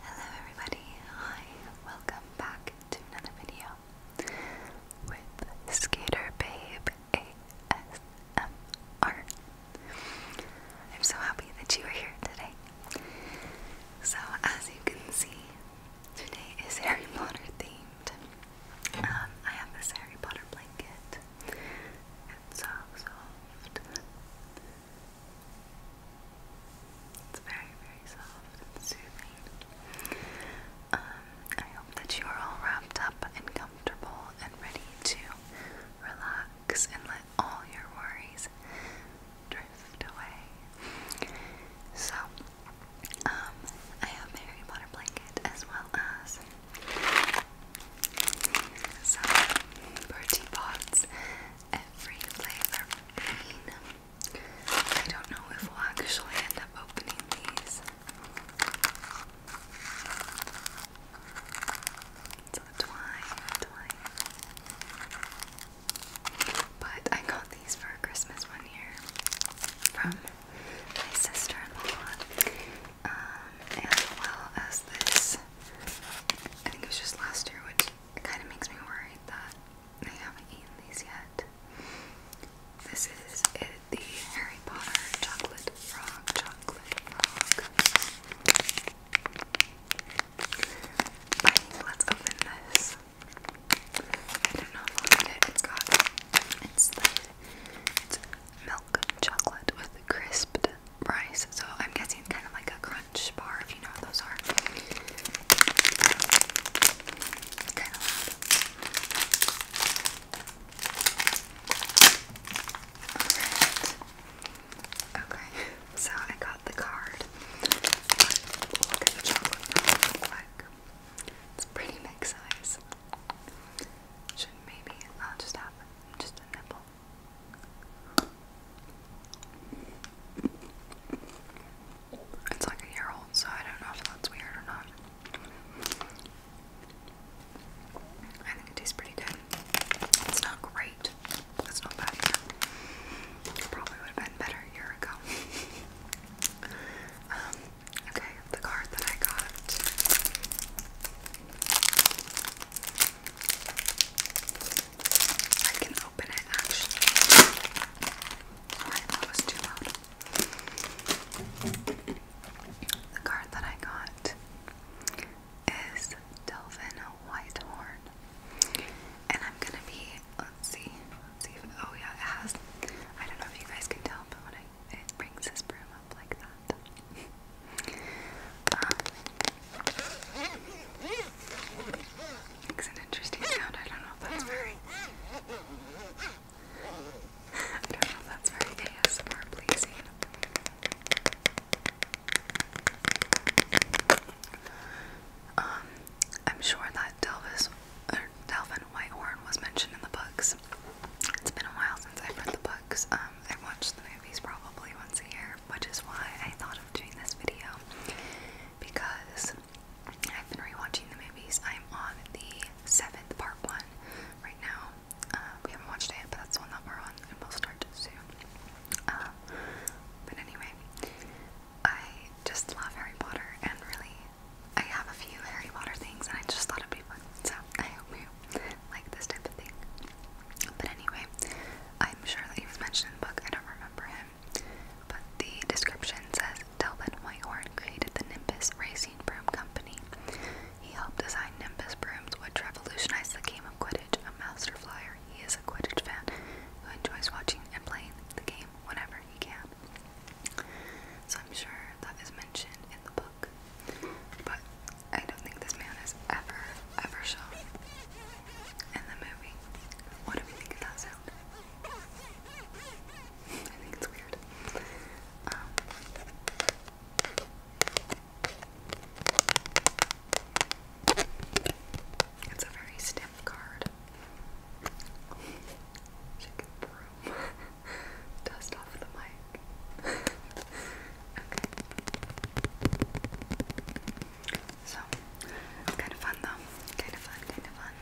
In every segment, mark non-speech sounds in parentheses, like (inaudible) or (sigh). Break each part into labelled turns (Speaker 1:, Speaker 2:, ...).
Speaker 1: Hello everybody, hi, welcome back to another video with Skater Babe ASMR. I'm so happy that you are here today. So as you can see, today is Harry Potter themed. Um, I have this Harry Potter blanket. It's so soft. It's very, very soft and soothing. Um, I hope that you are all wrapped up and comfortable and ready to relax and let all your worries drift away. So, um, I have a Harry Potter blanket as well as some pretty pots every flavor I don't know if we'll actually end up opening these. So twine, twine. But I got these for Christmas one year from my sister-in-law. Um, as well as this. I think it was just last year, which it kind of makes me worried that I haven't eaten these yet. This is the Harry Potter chocolate frog, chocolate frog. let's open this. I don't know if I'll it. It's got it's it's milk chocolate with crisped rice, so I'm guessing kind of like a crunch crunch bar, if you know what those are. It's Okay, (laughs) so I got the card. look at the chocolate It's pretty big size. Should maybe I'll just have just a nipple. It's like a year old, so I don't know if that's weird or not. I think it tastes pretty good. It's not great. It's not bad probably would have been better a year ago. (laughs) Um, okay, the card that I got. I can open it actually. Alright, that was too loud. The card that I got is Delvin Whitehorn. And I'm gonna be, let's see, oh yeah, it has, I don't know if you guys can tell, but when it brings this broom up like that. (laughs) Um, Makes an interesting sound. I don't know if that's very. I don't know if that's very um, I'm sure that Delvis or Delvin Whitehorn was mentioned in the books. It's been a while since I've read the books. Um, I watch the movies probably once a year, which is why I thought doing this video because I've been rewatching the movies. I'm on the seventh part one right now. Uh, we haven't watched it, but that's the one that we're on, and we'll start soon. Uh, but anyway, I just love Harry Potter, and really, I have a few Harry Potter things, and I just thought it'd be fun. So I hope you like this type of thing. But anyway, I'm sure that he was mentioned in the book, I don't remember him. But the description says Delvin Whitehorn created the Nimbus Racing Broom Company. He helped design Nimbus brooms, which revolutionized the game of Quidditch. A master flyer, he is a Quidditch fan who enjoys watching and playing the game whenever he can. So I'm sure that is mentioned in the book. But I don't think this man has ever, ever shown in the movie. What do we think of that sound? I think it's weird. Um, it's a very stiff card. She broom (laughs) dust off the mic. (laughs) okay. So kind of fun though. Kind of fun, kind of fun.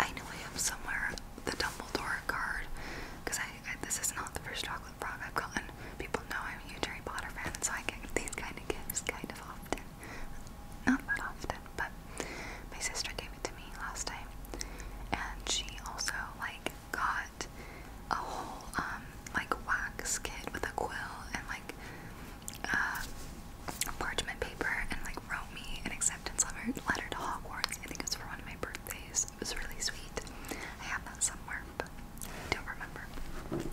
Speaker 1: I know I have somewhere the Dumbledore card because I, this is not the first chocolate frog I've gotten. People know I'm a huge Harry Potter fan, so I get these kind of gifts kind of often. Not that often, but my sister gave it to me last time, and she also like got a whole um, like wax kit with a quill and like uh, parchment paper and like wrote me an acceptance letter, letter to Hogwarts. I think it was for one of my birthdays. It was really sweet. I have that somewhere, but I don't remember.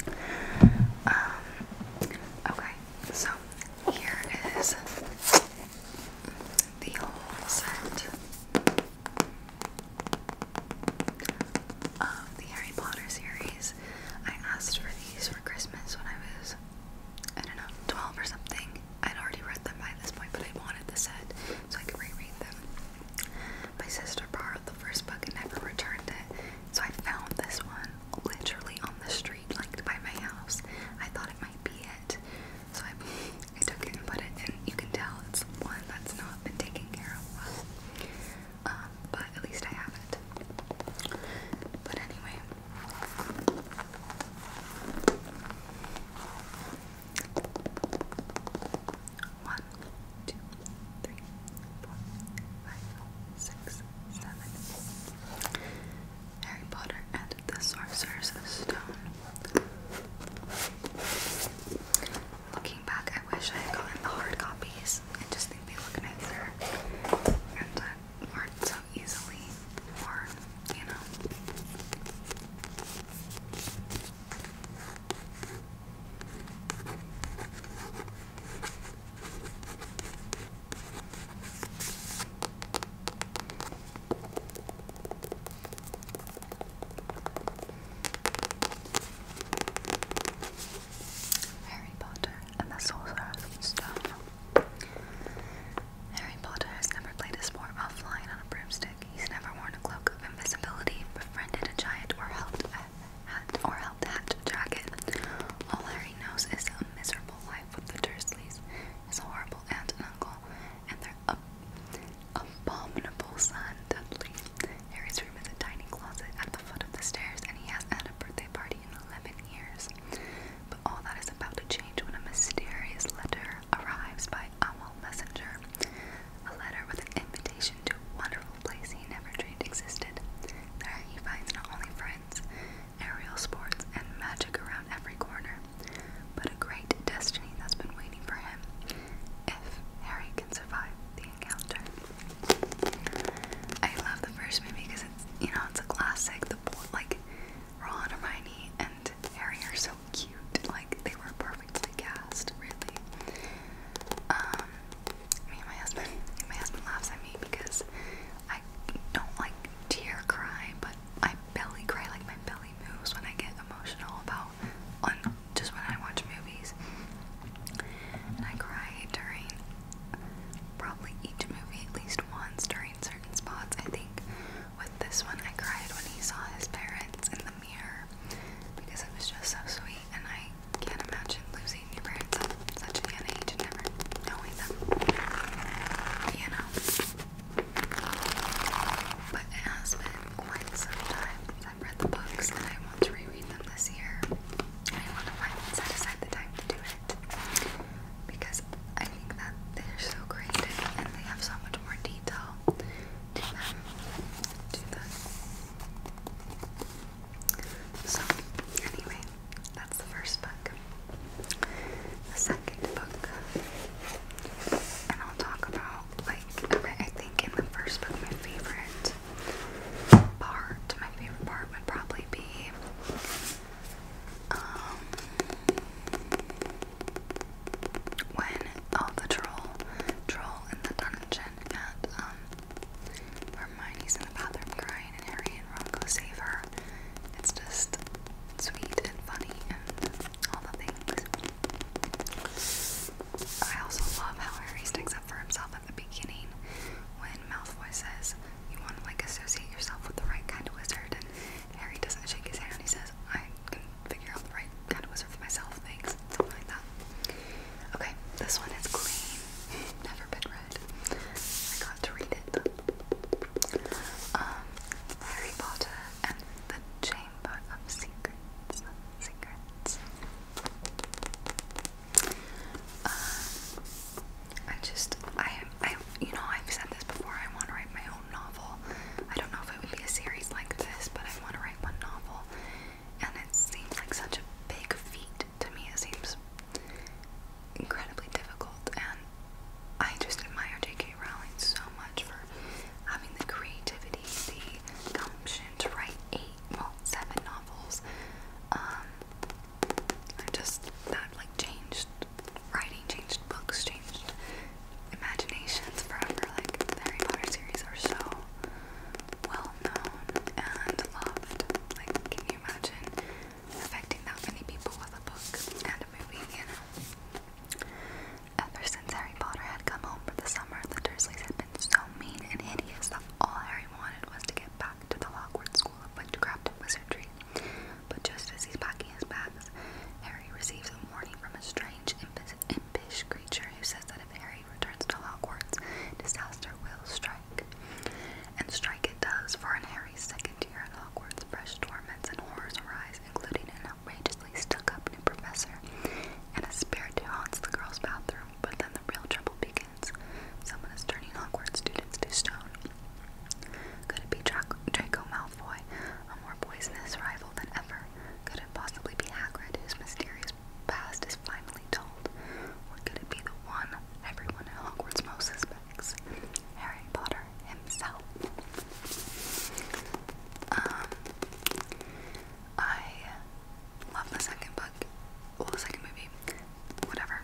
Speaker 1: Um, okay, so here is the whole set of the Harry Potter series. I asked for these for Christmas when I was, I don't know, 12 or something. I'd already read them by this point, but I wanted the set so I could reread them. My sister borrowed the first book and never returned it, so I found this one literally on the street, like by my house. I thought it might be it, so I, I took it and put it in. You can tell it's one that's not been taken care of um, but at least I have it. But anyway, one, two, three, four, five, six, seven. Harry Potter and the Sorcerer's Stone looking back, I wish I had gotten the hard copies. I just think they look nicer and uh, aren't so easily or you know. Harry Potter and the Sorcerer's Stone. Harry Potter has never played a sport while flying on a broomstick. He's never worn a cloak of invisibility, befriended a giant, or helped a hat or helped hatch dragon. All Harry knows is a miserable life with the Dursleys, his horrible aunt and uncle, and their ab abominable son Dudley. Harry's room is a tiny closet at the foot of the stairs, and he has had a birthday party in 11 years. But all that is about to change when a mysterious letter arrives by Owl Messenger. A letter with an invitation to a wonderful place he never dreamed existed. There he finds not only friends, aerial sports, and magic around every corner, but a great destiny that's been waiting for him if Harry can survive the encounter. I love the first movie because it's you know it's a classic. The like Ron, Hermione, and Harry are so cute. Like they were perfectly cast, really. Um, me and my husband, (laughs) my husband laughs at me because I don't like tear cry, but I belly cry. Like my belly moves when I get emotional about an just when I watch movies. And I cry during probably each movie at least once during certain spots. I think with this one, I cried when he saw his parents in the mirror because it was just so sweet, and I can't imagine losing your parents at such a young age and never knowing them. You know? But it has been quite some time I've read the books and I want to reread them this year. I want to finally set aside the time to do it because I think that they're so creative and they have so much more detail So, anyway, that's the first book. The second book, and I'll talk about like I think in the first book my favorite part, my favorite part would probably be um, when all the troll troll in the dungeon and um Hermione's in the bathroom crying and Harry and Ron go save her. It's just sweet and funny and all the things. I also love how Harry sticks up for himself at the beginning when Malfoy says you want to like associate yourself with the right kind of wizard and Harry doesn't shake his hand and he says I can figure out the right kind of wizard for myself thanks something like that okay this one is green. (laughs) never been red. I got to read it um Harry Potter and the Chamber of Secrets Secrets uh, I just, I, I, you know, I've said this before. I want to write my own novel. I don't know if it would be a series like this, but I want to write one novel, and it seems like such a big feat to me. It seems incredibly difficult, and I just admire J.K. Rowling so much for having the creativity, the gumption, to write eight, well, seven novels. Um, I just that like changed writing, changed books, changed imaginations forever. Like Harry Potter series are so well known and loved. Like, can you imagine affecting that many people with a book and a movie? You Ever since Harry Potter had come home for the summer, the Dursleys had so mean and hideous that all Harry wanted was to get back to the Hogwarts School of Witchcraft and Wizardry. But just as he's packing his bags, Harry receives a warning from a strange, impish creature who says that if Harry returns to Hogwarts, disaster will strike. And strike it does, for in Harry's second year at Hogwarts, fresh torments and horrors arise, including an outrageously stuck up new professor and a spirit who haunts the girls' bathroom. But then the real trouble begins. Someone is turning awkward students to stone. Could it be Draco Malfoy, a more poisonous rival than ever? Could it possibly be Hagrid, whose mysterious past is finally told? Or could it be the one everyone in Hogwarts most suspects? Harry Potter himself. Um, I love the second book, well, the second movie, whatever.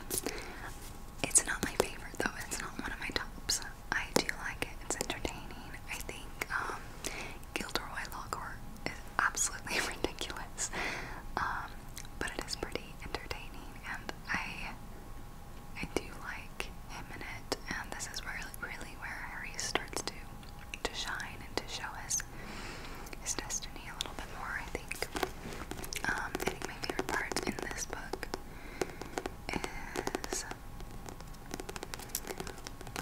Speaker 1: It's not my favorite though. It's not one of my tops. I do like it. It's entertaining. I think um, Gilderoy Lockhart is absolutely (laughs) ridiculous, um, but it is pretty entertaining, and I I do like him in it. And this is where really where Harry starts to to shine and to show us his destiny a little bit more, I think. Um, I think my favorite part in this book is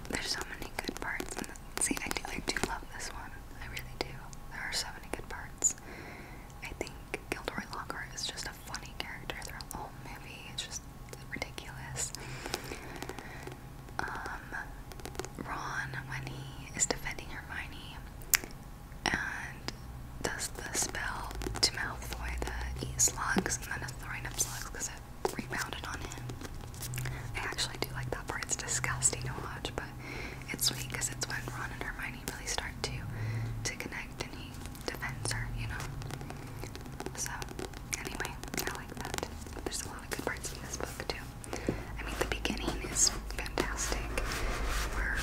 Speaker 1: there's so many good parts. see, I do, I do love this one. I really do. There are so many good parts. I think Gilderoy Lockhart is just a funny character throughout the whole movie. It's just ridiculous. Um, Ron when he is defending Hermione and does the spell to Malfoy the eat slugs and then is throwing up slugs because it rebounded on him. I actually do like that part. It's disgusting to watch, but it's sweet because it's when Ron and Hermione really start to to connect and he defends her, you know. So anyway, I like that. There's a lot of good parts in this book too. I mean, the beginning is fantastic, where,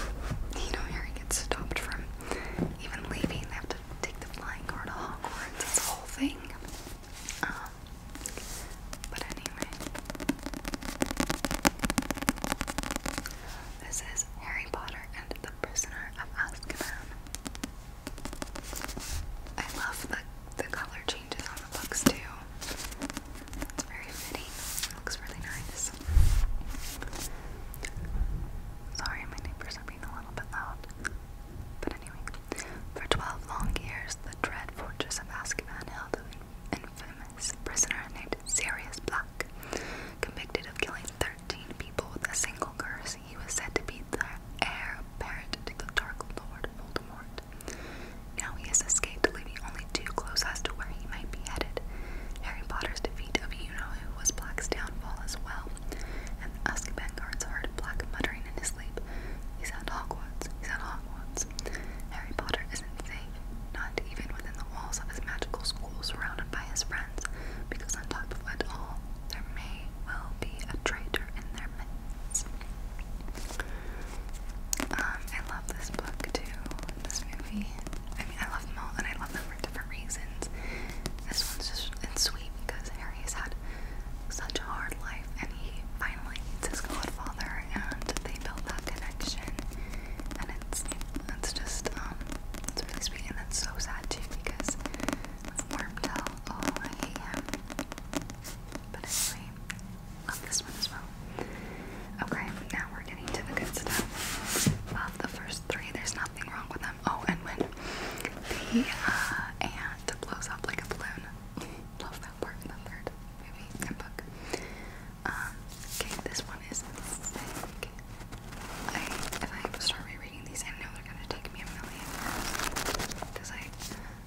Speaker 1: you know, Harry gets stopped from even leaving. They have to take the flying car to Hogwarts. It's whole thing. Um, but anyway, this is Harry Potter and the Prisoner of Azkaban. I love the the color changes on the books too. It's very fitting. looks really nice. Sorry, my neighbors are being a little bit loud. But anyway, for twelve long years, the dread fortress of Azkaban held an infamous prisoner named Sirius Black, convicted of killing thirteen people with a single curse. He was said to be the heir apparent to the Dark Lord Voldemort. Now he has escaped, leaving only two clues as to where he might be headed. Harry Potter's defeat of you-know-who was Black's downfall as well, and the Azkaban guards heard Black muttering in his sleep, He's at Hogwarts, he's at Hogwarts. Harry Potter isn't safe, not even within the walls of his magical school surrounded by his friends, because on top of it all, there may well be a traitor in their midst. Um, I love this book too, and this movie. I mean, I love them all, and I love them for different reasons. This one's just it's sweet because Harry's had such a hard life, and he finally meets his godfather, and they build that connection. And it's it's just um, it's really sweet, and it's so sad too because Wormtail, oh, I hate him. But anyway, Love this one as well. Okay, now we're getting to the good stuff of the first three. There's nothing wrong with them. Oh, and when the uh, ant blows up like a balloon. Love that part in the third movie and book. Um, okay, this one is sick. I, if I start rereading these, I know they're gonna take me a million years. Because I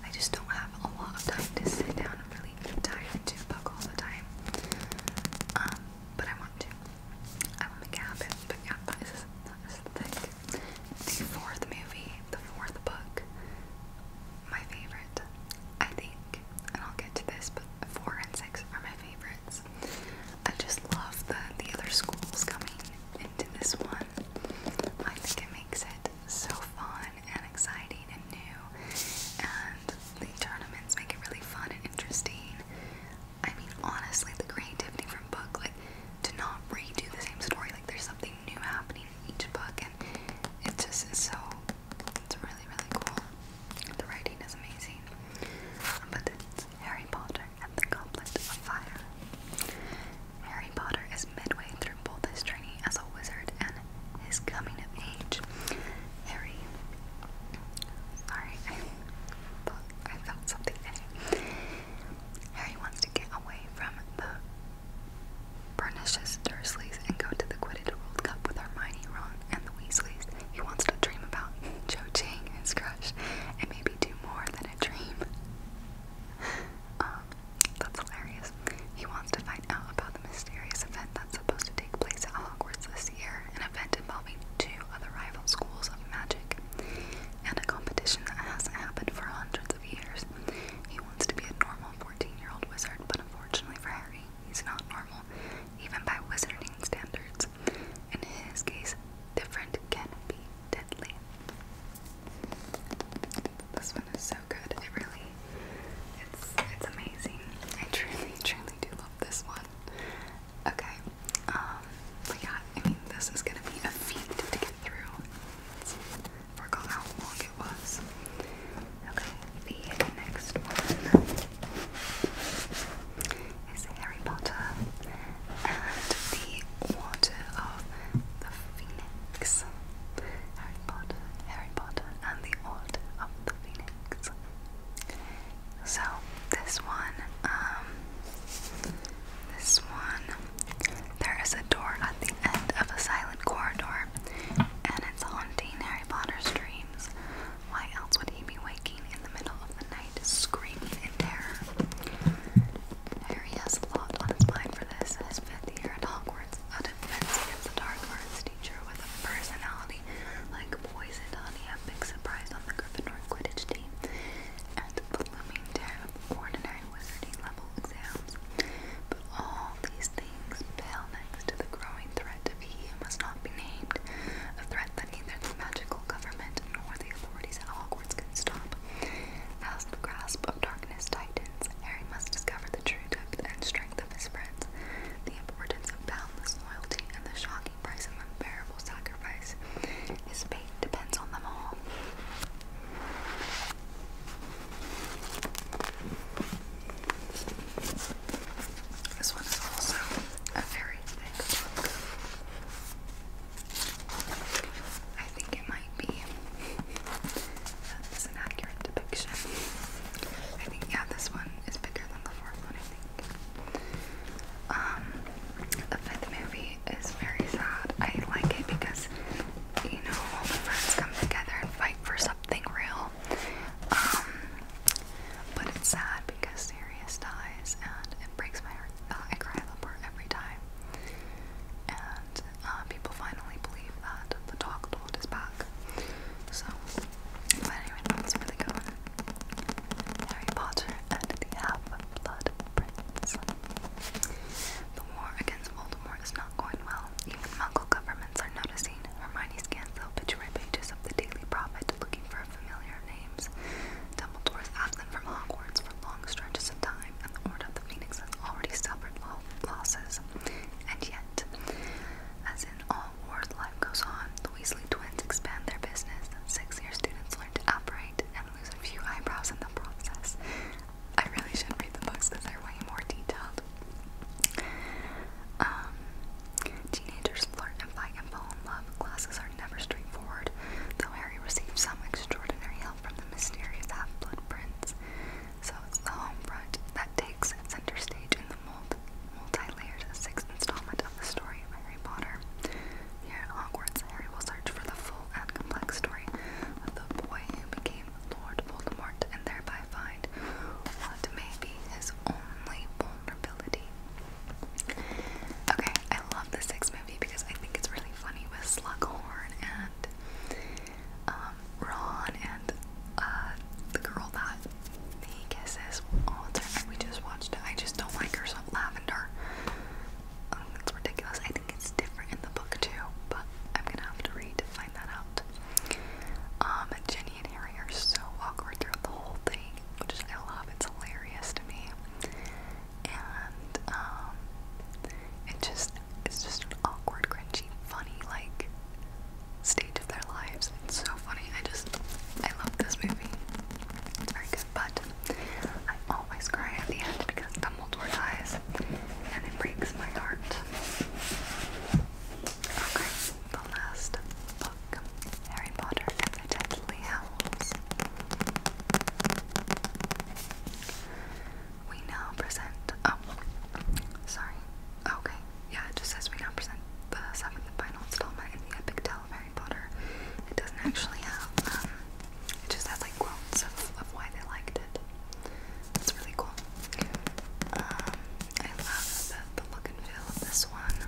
Speaker 1: I just don't have a lot of time to sit down and really dive into a book all the time. Um, but I want to. I will make it But yeah, that is, that is thick. The fourth movie, the fourth book, my favorite, I think, and I'll get to this, but four and six are my favorites. I just love that the other schools coming into this one. I think it makes it so fun and exciting and new, and the tournaments make it really fun and interesting. I mean, honestly, the creativity from book, like, to not redo the same story, like, there's something new happening in each book, and it just is so, it's really, really cool. The writing is amazing. But it's Harry Potter and the Goblet of Fire. Harry Potter is midway through both his training as a wizard and his coming of age. Harry, sorry, I I felt something. Harry wants to get away from the pernicious Dursleys and go to the Quidditch World Cup with Hermione, Ron, and the Weasleys. He wants to dream about (laughs) Cho Chang, his crush, and maybe do more than a dream. (laughs) Um, that's hilarious. He wants to find out about the mysterious event that's supposed to take place at Hogwarts this year, an event involving two other rival schools of magic, and a competition that hasn't happened for hundreds of years. He wants to be a normal 14-year-old wizard, but unfortunately for Harry, he's not normal, even by wizarding standards. In his case, different can be deadly. This one is so good. It really, it's it's amazing. I truly, truly do love this one. Okay, um, but yeah, I mean, this is gonna be a feat to get through. Let's forgot how long it was. Okay, the next one is Harry Potter and the Water of the Phoenix. Harry Potter, Harry Potter, and the Order of the Phoenix. So this one, um, this one, there is a door at the end of a silent corridor, and it's haunting Harry Potter's dreams. Why else would he be waking in the middle of the night, screaming in terror? Harry has a his mind for this, his fifth year at Hogwarts a defense against the dark arts teacher with a personality like poison honey, a big surprise on the Gryffindor Quidditch team, and the looming terror of ordinary wizarding level exams. But all these things pale next to the growing threat to be who must not be named, a threat that neither the magical government nor the authorities at Hogwarts can stop. As the grasp of darkness tightens. Harry must discover the true depth and strength of his friends, the importance of boundless loyalty, and the shocking price of unbearable sacrifice. His fate depends on them all. This one is also a very thick I think it be. an accurate depiction. I think, yeah, this one is bigger than the fourth one, I think. Um, the fifth movie is very sad. I like it because, you know, all the friends come together and fight for something real. Um, but it's sad because Sirius dies and it breaks my heart. Uh, I cry that every time. And uh, people finally believe that the dog lord is back. So, but anyway, that's really good Harry Potter and the Half-Blood Prince. The war against Voldemort is not going well. Even Muggle governments are noticing. Hermione scans the obituary pages of the Daily Prophet, looking for familiar names. Dumbledore's absent from Hogwarts for long stretches of time, that the Phoenix has already suffered lo losses, and yet, as in all wars life goes on, the Weasley twins expand their business. Six-year students learn to operate and lose a few eyebrows in the process. I really should read the books because they're way more detailed. Um, teenagers flirt and fight and fall in love. Classes are never straightforward, though Harry receives some extraordinary help from the mysterious half-blood prince. So it's the home front that takes center stage in the multi-layered sixth installment of the story of Harry Potter. Here Hogwarts, Harry will search for the full and complex story of the boy who became Lord Voldemort and thereby find what may be his only vulnerability. Okay, I love the sixth movie because I think it's really funny with Slughorn and um, Ron and uh, the girl that he kisses all the time. We just watched it. I just don't like her so lavender. That's um, ridiculous. I think it's different in the book too, but I'm gonna have to read to find that out. Um, Jenny and Harry are so awkward throughout the whole thing, which I love. It's hilarious to me, and um, it just it's just an awkward, cringy, funny, like stage of their lives. It's so funny. I just I love this movie. It's very good, but I always cry at the end because Dumbledore dies and it breaks my heart. Okay, the last book, Harry Potter and Howls. We now present. Oh, sorry. Okay, yeah, it just says we now present the seventh and final installment in the epic tale of Harry Potter. It doesn't actually have. Um, it just has like quotes of, of why they liked it. That's really cool. Um, I love the, look and feel of this one.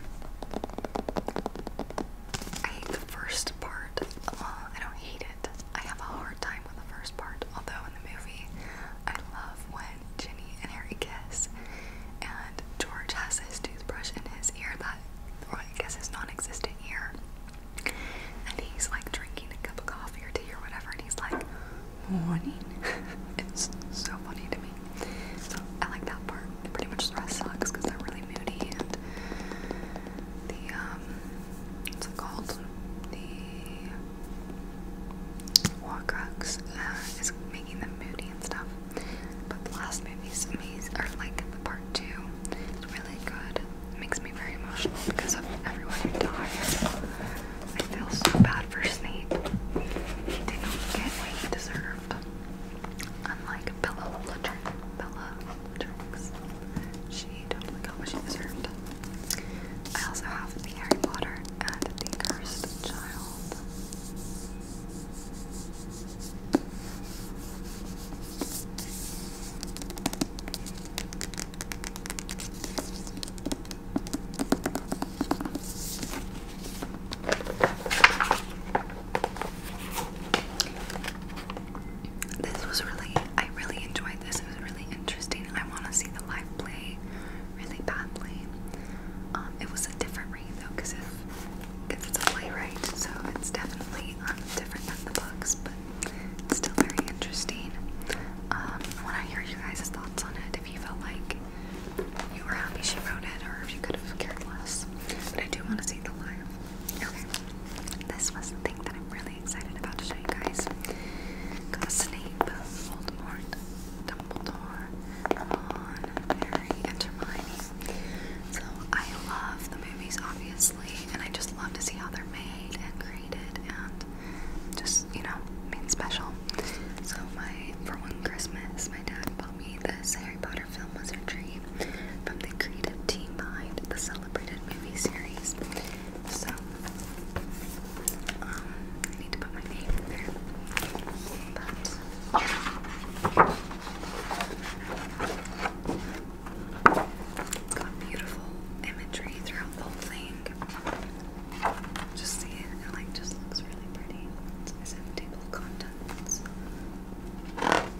Speaker 1: I hate the first part. Well, I don't hate I have a hard time with the first part, although in the movie, I love when Ginny and Harry kiss, and George has his toothbrush in his ear that, or I guess his non-existent ear, and he's like drinking a cup of coffee or tea or whatever, and he's like, morning. (laughs) it's so funny to me. So I like that part. Pretty much the rest sucks because they're really moody and the um, what's it called? The Warcrux uh, is making them moody and stuff. But the last movie's amazing, or like the part two, is really good. It makes me very emotional because everyone who I feel so bad for Snape. He did not get what he deserved. Unlike Bella Bella she totally got what she deserved. I also have the Harry Potter and the Cursed Child. This was really, I really enjoyed this was really interesting. I want to see the live play really badly. Um, it was a different read though, because it's a playwright, so it's definitely um, different than the books, but it's still very interesting. Um, I want to hear you guys' thoughts on it. If you felt like you were happy she wrote it, or if you could have cared less. But I do want to see the live. Okay, this was the thing that I'm really really excited about to show you guys. Got Snape, Voldemort, Dumbledore, Harry, Hermione. So I love the movies, obviously, and I just love to see how they're made and created and just, you know, made special. So my, for one Christmas, my dad bought me this Harry Potter film wizardry from the creative team behind the celebrated movie series. So, um, I need to put my name there. But, it's got beautiful imagery throughout the thing. Just see it, it like just looks really pretty. It's in table of contents. Um,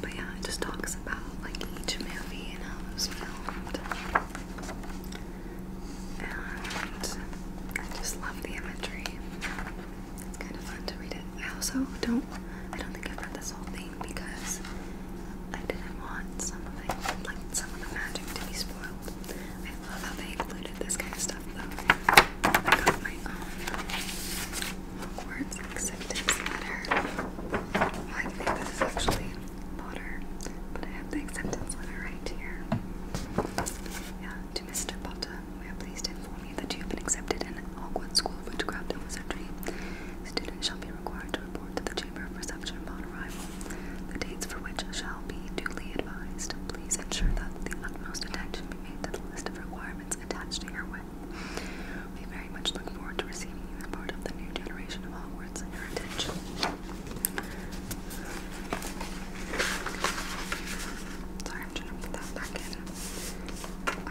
Speaker 1: but yeah, it just talks about like each movie and how it was filmed. And I just love the imagery. It's kind of fun to read it. I also don't I don't think I've read this whole thing because I didn't want some of it like some of the magic to be spoiled. I love how they included this kind stuff though. I got my Hogwarts acceptance letter. I think this is actually Potter, but I have the acceptance letter right here. Yeah, to Mr. Potter, we are pleased to inform you that you have been accepted in Hogwarts School of Witchcraft and Wizardry. Students shall be required to report to the Chamber of Reception upon arrival, the dates for which shall be duly advised. Please ensure that the utmost attention be made to the list of requirements attached to your we very much look forward to receiving you as part of the new generation of Hogwarts heritage. Sorry, I'm trying to put that back in.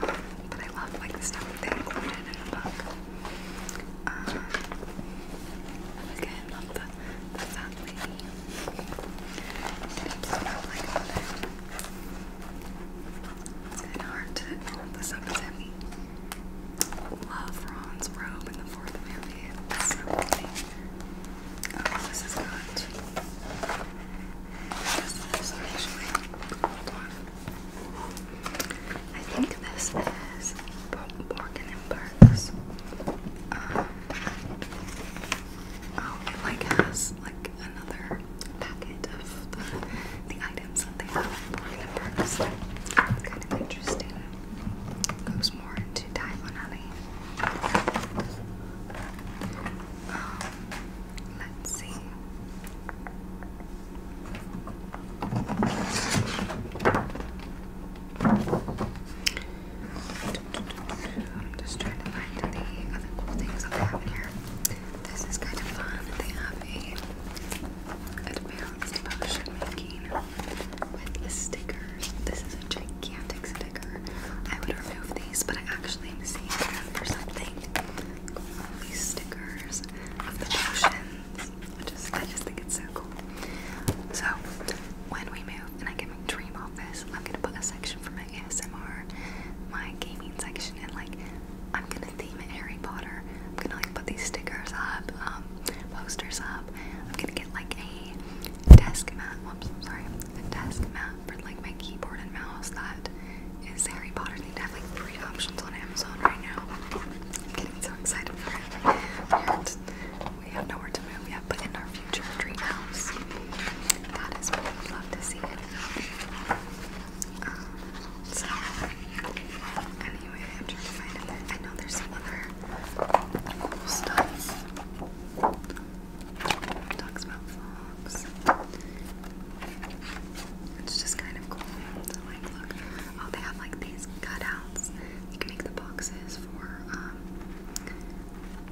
Speaker 1: Um, but I love like the stuff they included in the book. Um, love the, the fat It's not like hard to hold this up as heavy. Love Ron's robe in the fourth movie. Oh, this is not. I think this is Morgan and Burks. Um, oh, it like has like another packet of the, the them something about Florida Parks. It's kind of interesting. Goes more into Taiwanese. Um, let's see. I'm just trying to find any other cool things that I have in here. This is kind of fun. They have a advanced potion making with stickers. This is a gigantic sticker. I would remove these, but I actually am them for something. these stickers of the potions. I just, I just think it's so cool. So when we move and I get my dream office, I'm gonna put a section for my ASMR, my gaming section, and like I'm gonna theme Harry Potter. I'm gonna like put these stickers up, um, posters up. I'm gonna get like a desk mat. Whoops, I'm sorry, a desk mat for like my keyboard and mouse that is Harry Potter themed. I have like three options on Amazon right now. I'm getting so excited for it. And we have nowhere to move yet, but in our future dream house, that is what we would love to see. Um, so, anyway, I'm trying to find it. I know there's some other cool stuff. Talks about vlogs. It's just kind of cool oh, they have like these cutouts. You can make the boxes for, um,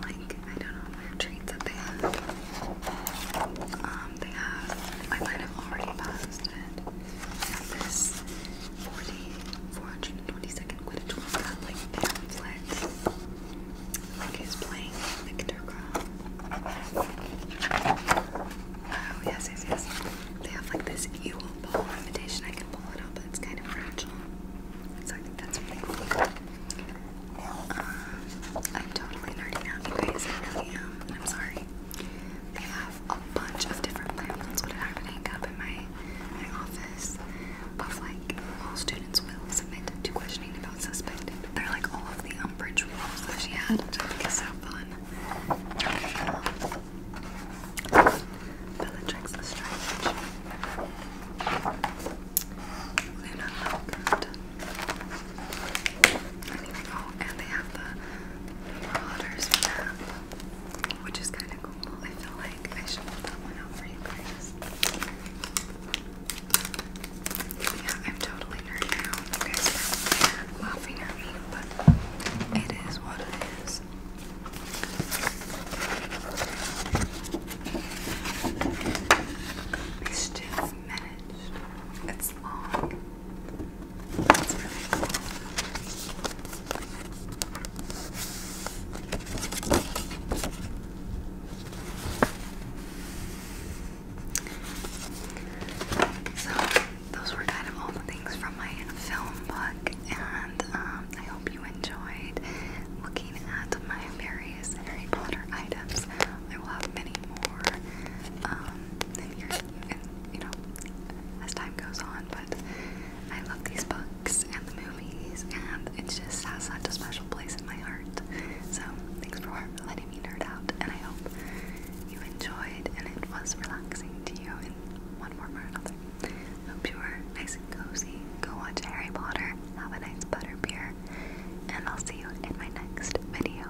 Speaker 1: like, I don't know, treats that they have. Um, they have, I might have already posted said, and this 40, 422nd Quidditch World Cup, like, pamphlet, like, he's playing Victor Crumb. Oh, yes, yes, yes. They have, like, this Ewell ball invitation. I can pull it up, but it's kind of fragile. So I think that's really cool. Um, I'm totally nerding out, you guys. I really am, and I'm sorry. They have have a bunch of different landlines would have to hang up in my, my office of like all students will submit to questioning about suspended. They're like all of the umbrage walls that she had, which I think is so fun. Bellatrix Lestrange. Luna Oh, and they have the Marauders map, which is kind of cool. I feel like I should put that one out for you guys. Yeah, I'm totally nerded out. You guys are laughing at me, but it is what it is. It's just minutes. It's long. That's So, those were kind of all the things from my film book, and um, I hope you enjoyed looking at my various Harry Potter items. I will have many more um, and, you know, as time goes on. But I love these books and the movies, and it just has such a special place in my heart. So thanks for letting me nerd out, and I hope you enjoyed and it was relaxing to you in one form or another. Hope you were nice and cozy. Go watch Harry Potter. Have a nice butter beer, and I'll see you in my next video.